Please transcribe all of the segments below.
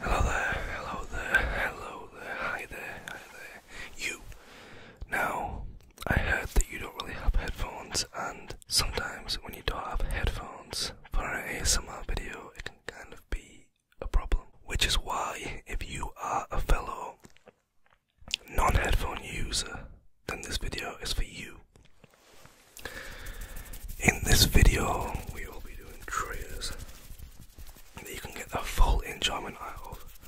Hello there, hello there, hello there, hi there, hi there. You! Now, I heard that you don't really have headphones, and sometimes when you don't have headphones for an ASMR video, it can kind of be a problem. Which is why, if you are a fellow non headphone user, then this video is for you. In this video, we will be doing triggers that you can get the full enjoyment out of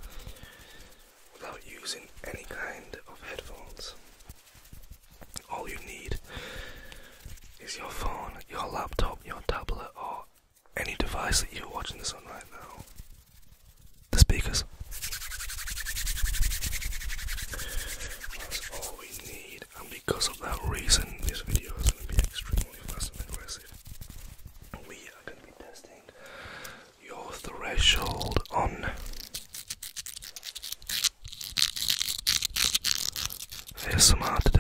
without using any kind of headphones. All you need is your phone, your laptop, your tablet, or any device that you're watching this on right now. The speakers. That's all we need, and because of that reason, this video is going to be extremely fast and aggressive. We are going to be testing your threshold on ASMR today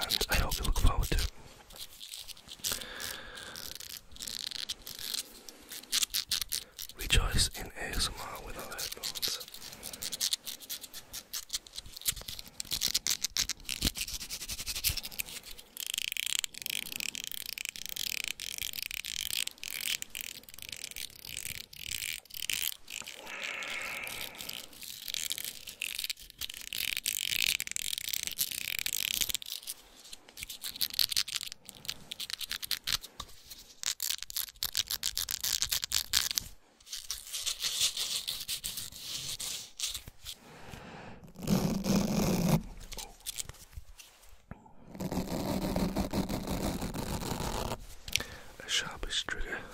and I hope you look forward to Rejoice in ASMR with our headphones. A sharpish trigger.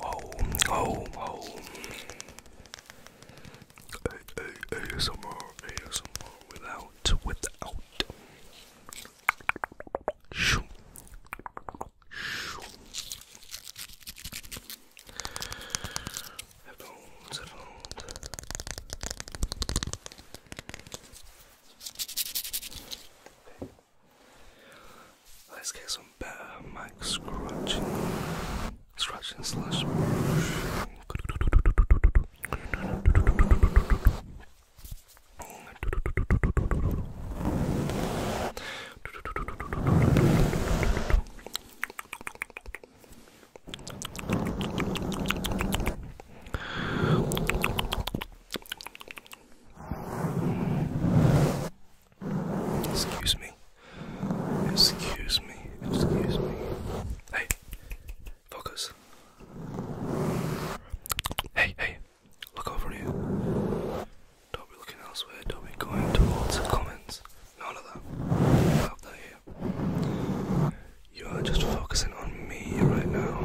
Oh, oh, oh. A, A, ASMR, ASMR without, without. Shoo. Shoo. Headphones, headphones. Okay. Let's get some better mic scratching, scratching slash Excuse me. Excuse me. Excuse me. Hey, focus. Hey, hey, look over here. Don't be looking elsewhere. Don't be going towards the comments. None of that. Out there here. You are just focusing on me right now.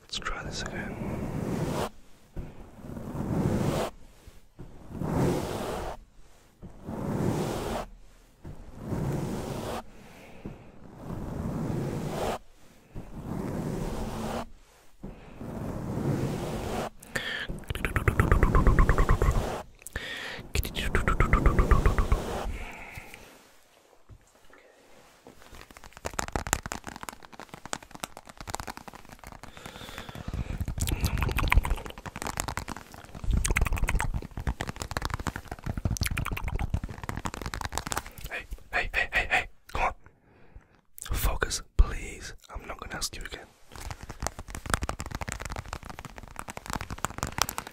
Let's try this again. Hey, hey, hey, hey, hey, come on. Focus, please. I'm not gonna ask you again.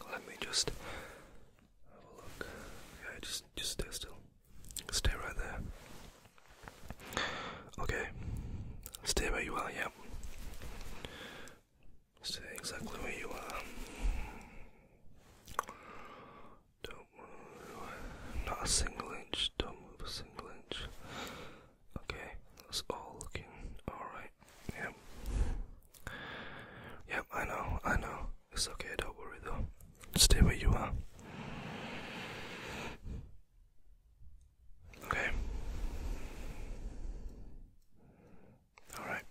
Okay, let me just look. Yeah, just just stay still. Stay right there. Okay. Stay where you are, Yep. Stay exactly where you are. Don't move. Not a single inch. Don't move a single inch. Okay, that's all looking alright. Yep. Yep, I know, I know. It's okay, don't worry though. Stay where you are. Okay. All right.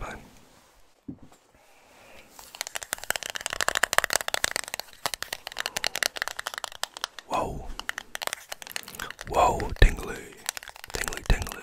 Fine. Whoa. Whoa, tingly. Tingly, tingly.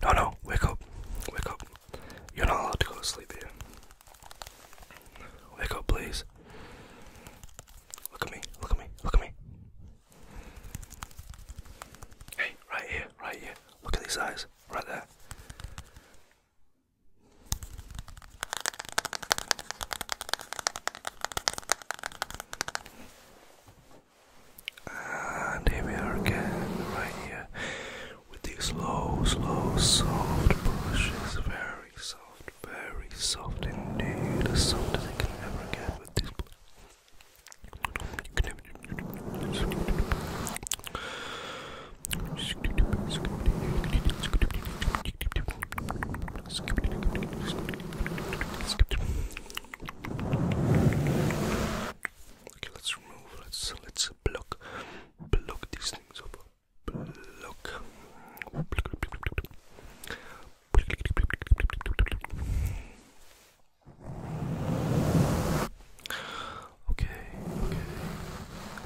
No, no, wake up, wake up. You're not allowed to go to sleep here. Wake up, please. Look at me, look at me, look at me. Hey, right here, right here. Look at these eyes, right there. And here we are again, right here with these slow, slow, soft brushes. Very soft, very soft indeed. As soft as it can never get with this brush. Okay, let's remove. Let's let's block block these things up. Block. Okay, okay.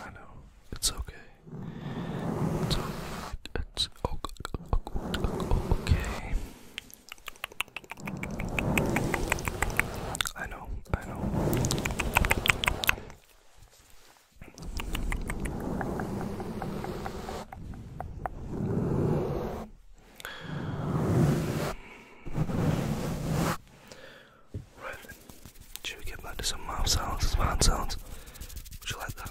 I know. It's okay. It's okay. It's okay. I know. I know. Right then, should we get back to some mouth sounds and mouth sounds? Would you like that?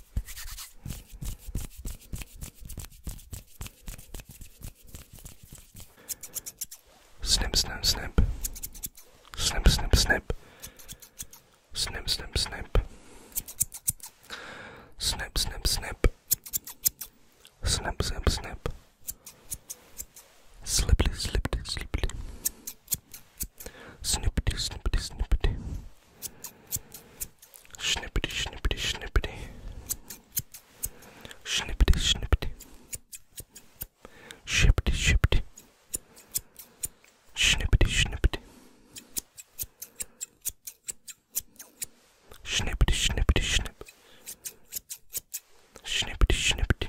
Snip, snip, snip. Snip, snip, snip. Snip, snip, snip. Snip, snip, snip. Snip, snip, snip. Slippity, slippity, slippity. Snippity, snippity, snippity. Snippity, snippity, snippity. Snippity, snippity. Shippity, shippity. Snippity, snippity. Snippity, snippity, snip. Snippity, snippity.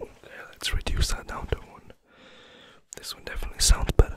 Okay, let's reduce that down to one. This one definitely sounds better.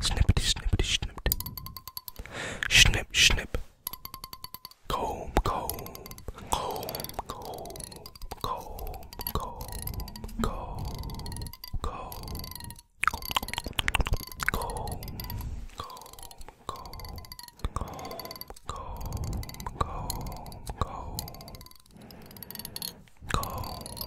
Snippity, snippity, snipped. Snip, snip. Comb, comb, comb, comb, comb, comb, comb, comb, comb, comb, comb, comb, comb, comb. Comb.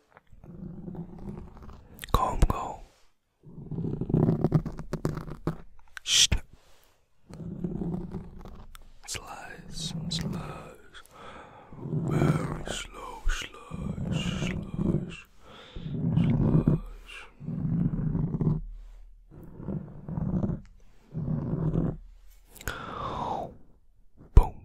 Kaum, kaum. Schnapp. Slice, slice. Very slow, slice, slice, slice. Boom.